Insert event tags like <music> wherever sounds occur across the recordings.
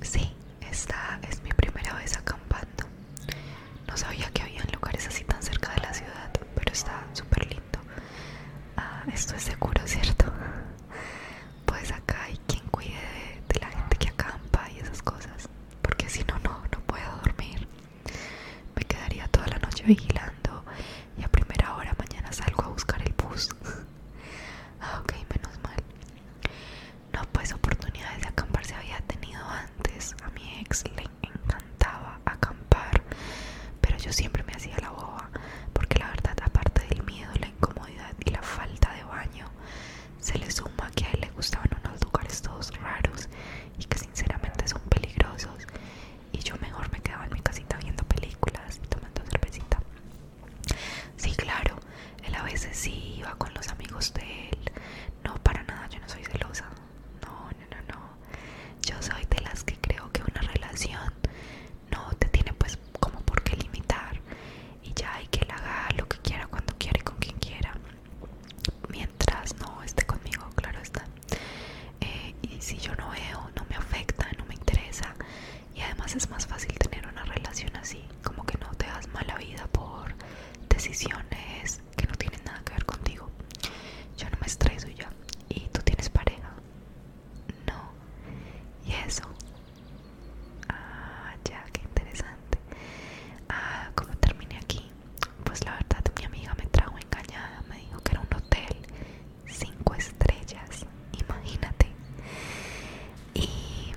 Sí, esta es mi primera vez acampando. No sabía que habían lugares así tan cerca de la ciudad, pero está súper lindo. Ah, esto es seguro, ¿cierto? Pues acá hay quien cuide de, la gente que acampa y esas cosas, porque si no, no, no puedo dormir. Me quedaría toda la noche vigilando y a primera hora mañana salgo a buscar el bus. <laughs> Ah, ok, menos mal. No, pues oportunidades de acampar se había tenido antes. A mi ex le encantaba acampar, pero yo siempre me hacía la boba, porque la verdad, aparte del miedo, la incomodidad y la falta de baño, se le suma que a él le gustaban unos lugares todos raros y que sinceramente son peligrosos. Y yo mejor me quedaba en mi casita viendo películas y tomando cervecita. Sí, claro, él a veces sí va con los amigos de él. No, para nada, yo no soy celosa. No, no, no, Yo soy de las que creo que una relación no te tiene pues como por qué limitar. Y ya hay que él haga lo que quiera, cuando quiera y con quien quiera. Mientras no esté conmigo, claro está. Eh, y si yo no veo, no me afecta, no me interesa y además es más fácil tener una relación así, como que no te das mala vida por decisiones que no tienen nada que ver contigo. Yo no me estreso ya. ¿Y tú tienes pareja? No. ¿Y eso? Ah, ya, qué interesante. Ah, ¿cómo terminé aquí? Pues la verdad, mi amiga me trajo engañada, me dijo que era un hotel cinco estrellas imagínate. Y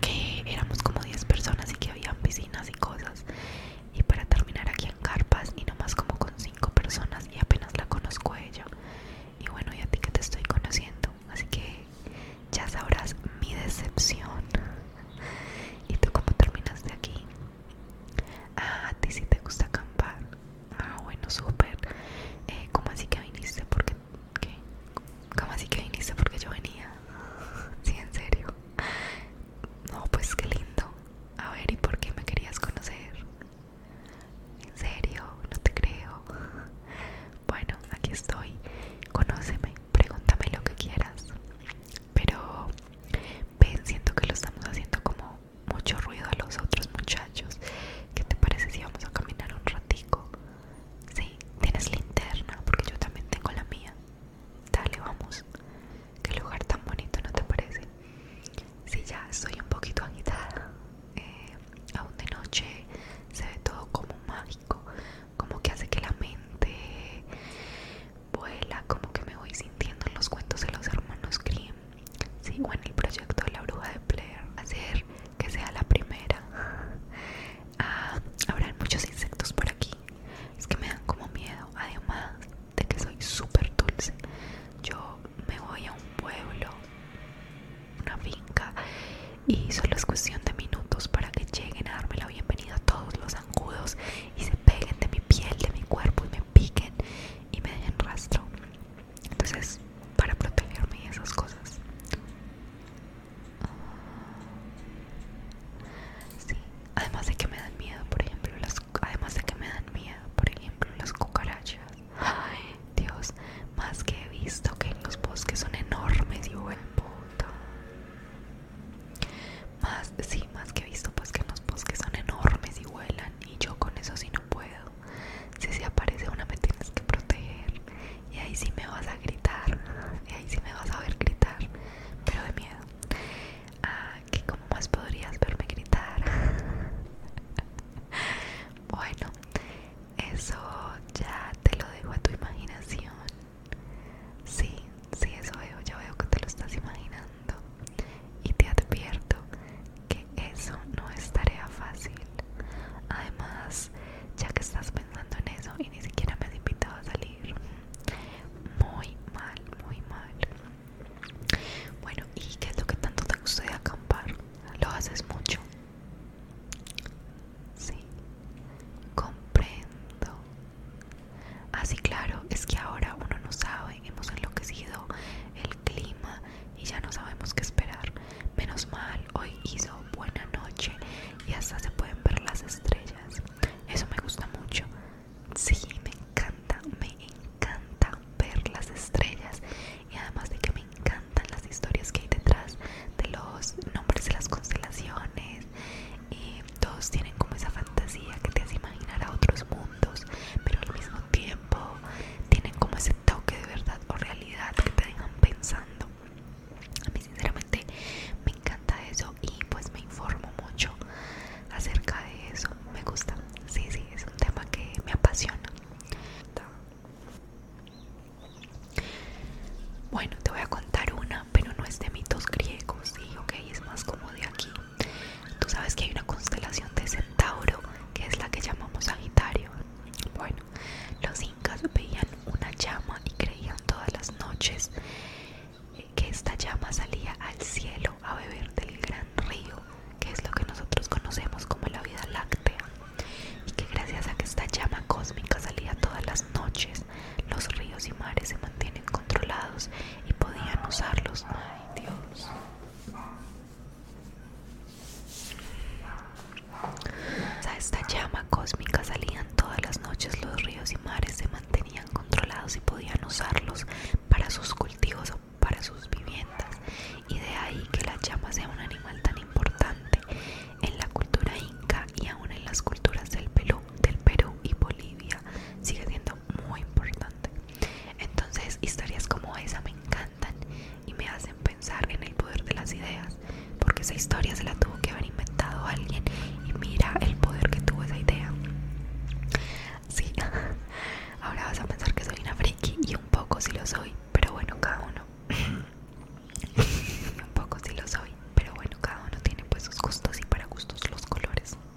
que éramos como 10 personas y que habían piscinas y cosas. Y para terminar aquí en Carpas y nomás como con 5 personas y apenas la conozco a ella. Y bueno, y a ti que te estoy conociendo. Así que ya sabrás mi decepción. ¿Y tú cómo terminaste aquí? Ah, a ti sí te gusta acampar. Ah, bueno, súper. Eh, como así que viniste? Porque ¿Qué? ¿Cómo así que viniste porque yo venía? <laughs> Sí, en serio. No, pues qué lindo. A ver, ¿y por qué me querías conocer? En serio, no te creo. <laughs> Bueno, aquí estoy. Conóceme, pregúntame lo que quieras. Pero ven, siento que lo estamos haciendo como mucho ruido a los otros, muchachos. ¿Qué te parece si vamos a caminar un ratico? Sí, tienes linterna porque yo también tengo la mía. Dale, vamos. Qué lugar tan bonito, ¿no te parece? Sí, ya estoy un poquito agitada. Eh, aún de noche se ve todo como mágico, como que hace que la mente vuela, como que me voy sintiendo en los cuentos de los hermanos Grimm sigo en el proyecto de la bruja de Blair, hacer que sea la primera. Ah, habrán muchos insectos por aquí, es que me dan como miedo, además de que soy súper dulce. Yo me voy a un pueblo, una finca, y solo es cuestión de minutos para que lleguen a darme la bienvenida a todos los zancudos y se peguen de mi piel, de mi cuerpo y me piquen y me dejen rastro. Entonces, para protegerme y esas cosas. Ah, sí, además de que me dan miedo, por ejemplo, las además de que me dan miedo, por ejemplo, las cucarachas. Ay, Dios, más que he visto que en los bosques son enormes y vuelan. Más, sí, más que he visto pues que en los bosques son enormes y vuelan y yo con eso sí no puedo. Si se aparece una me tienes que proteger. Y ahí sí me vas a gritar. Y ahí sí me vas a ver gritar. Pero de miedo. Ah, que como más podrías verme gritar. <laughs> bueno, eso ya te lo dejo a tu imaginación. Sí, sí, eso veo. Ya veo que te lo estás imaginando y te advierto que eso no es tarea fácil. Además, ya que estás pensando en eso y ni siquiera me has invitado a salir, muy mal, muy mal. Bueno, ¿y qué es lo que tanto te gusta de acampar? ¿Lo haces mucho? Sí, comprendo. Así, ah, claro, es que ahora uno no sabe hemos enloquecido el clima y ya no sabemos qué esperar. Menos mal, hoy hizo buena noche y hasta se pueden ver las estrellas. Eso me gusta mucho. Sí, me encanta, me encanta ver las estrellas y además de que me encantan las historias que hay detrás de los nombres de las constelaciones y todos tienen como esa fantasía que te hace imaginar a otros mundos, pero al mismo tiempo tienen como ese toque de verdad o realidad que te dejan pensando a mí sinceramente me encanta eso y pues me informo mucho acerca de eso me gusta sí sí es un tema que me apasiona bueno te voy a contar una pero no es de mitos griegos sí ok es más como de aquí Tú sabes que hay una constelación de Centauro que es la que llamamos Sagitario. Bueno, los incas veían una llama y creían todas las noches que esta llama salía al cielo a beber del gran río, que es lo que nosotros conocemos como la vida láctea, y que gracias a que esta llama cósmica salía todas las noches, los ríos y mares se mantienen controlados y podían usarlos Dios. esta llama cósmica salían todas las noches los ríos y mares se mantenían controlados y podían usarlos para sus cultivos o para sus viviendas y de ahí que la llama sea un animal tan importante en la cultura inca y aún en las culturas del Perú, del Perú y Bolivia sigue siendo muy importante. Entonces historias como esa me encantan y me hacen pensar en el poder de las ideas, porque esa historia se la tuvo que haber inventado alguien y mira el poder que tuvo esa idea. Sí, <laughs> ahora vas a pensar que soy una friki y un poco sí lo soy, pero bueno, cada uno. <laughs> un poco sí lo soy, pero bueno, cada uno tiene pues sus gustos y para gustos los colores.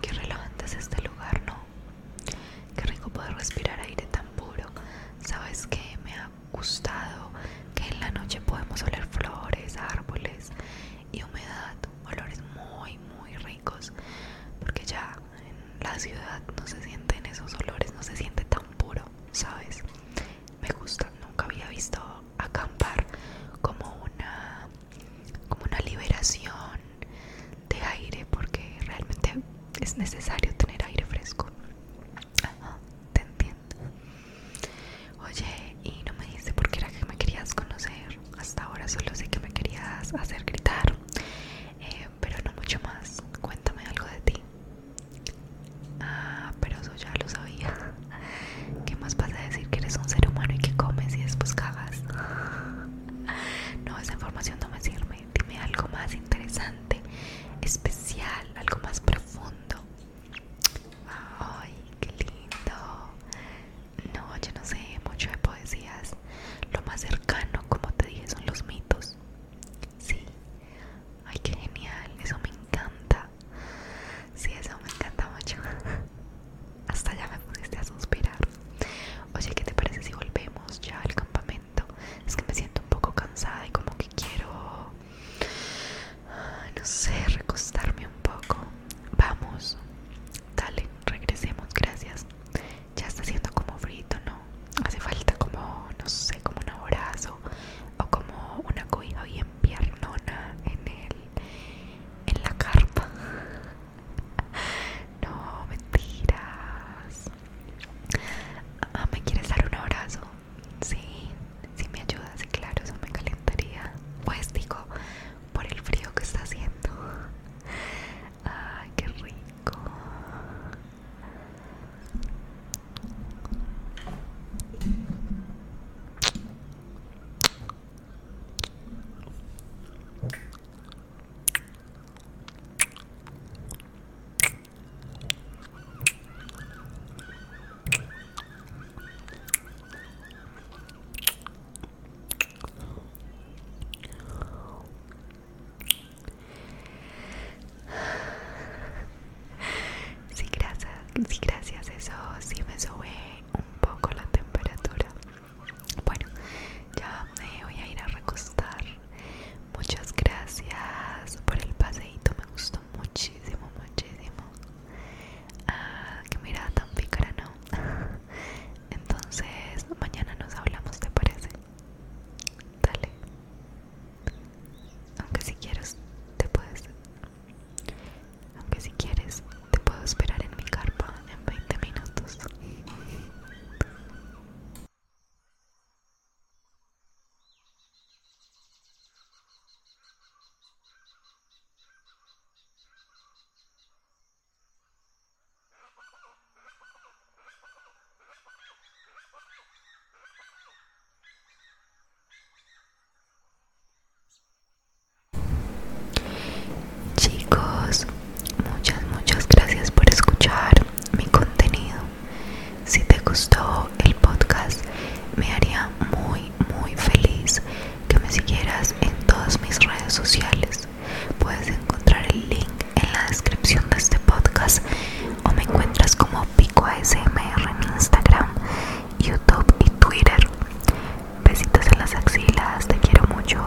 Qué relajante es este lugar, ¿no? Qué rico poder respirar aire tan puro. ¿Sabes qué? Me ha gustado que en la noche podemos oler flores, árboles y humedad. Olores muy, muy ricos. Porque ya en la ciudad no se sienten esos olores, no se siente tan puro, ¿sabes? Me gusta, nunca había visto acampar como una como una liberación de aire porque realmente es necesario tener aire fresco. te entiendo. Oye, y no me dice por qué era que me querías conocer. Hasta ahora solo sé que me querías hacer gritar, eh, pero no mucho más. Cuéntame algo de ti. Ah, pero eso ya lo sabía. <laughs> ¿Qué más pasa a decir que eres un ser humano y que comes y después cagas? <laughs> No, esa información no me sirve. Dime algo más interesante, especial, algo más profundo. Ay, qué lindo. No, yo no sé mucho de poesías. Lo más cercano, como te dije, son los mitos. Sí. Ay, qué genial. Eso me encanta. Sí, eso me encanta mucho. <laughs> Hasta ya me pusiste a suspirar. Oye, ¿qué te parece si volvemos ya al campamento? Es que me siento un poco cansada y como que quiero... No sé, recostarme un poco. Vamos. Dale, regresemos. Gracias ya está haciendo como frito, ¿no? Hace falta como, no sé, como un abrazo o como una cobija bien piernona en el, en la carpa. <laughs> No, mentiras. Ah, ¿Me quieres dar un abrazo? Sí, sí me ayudas, claro, eso me calentaría. Pues digo, por el frío que está haciendo. Ay, qué rico. Sí, gracias, sí, gracias, eso sí me sube un poco la temperatura. Bueno, ya me voy a ir a recostar. Muchas gracias por el paseíto, me gustó muchísimo, muchísimo. Ah, qué mirada tan pícara, ¿no? <laughs> Entonces, mañana nos hablamos, ¿te parece? Dale. Aunque si quieres, te puedes. Aunque si quieres, te puedo esperar en mi carpa en 20 minutos. Chicos, muchas, muchas gracias por escuchar mi contenido. Si te gustó el podcast, me haría muy, muy feliz que me siguieras en todas mis redes sociales. Puedes encontrar el link en la descripción de este podcast o me encuentras como Pico en Instagram, YouTube y Twitter. Besitos en las axilas, te quiero mucho.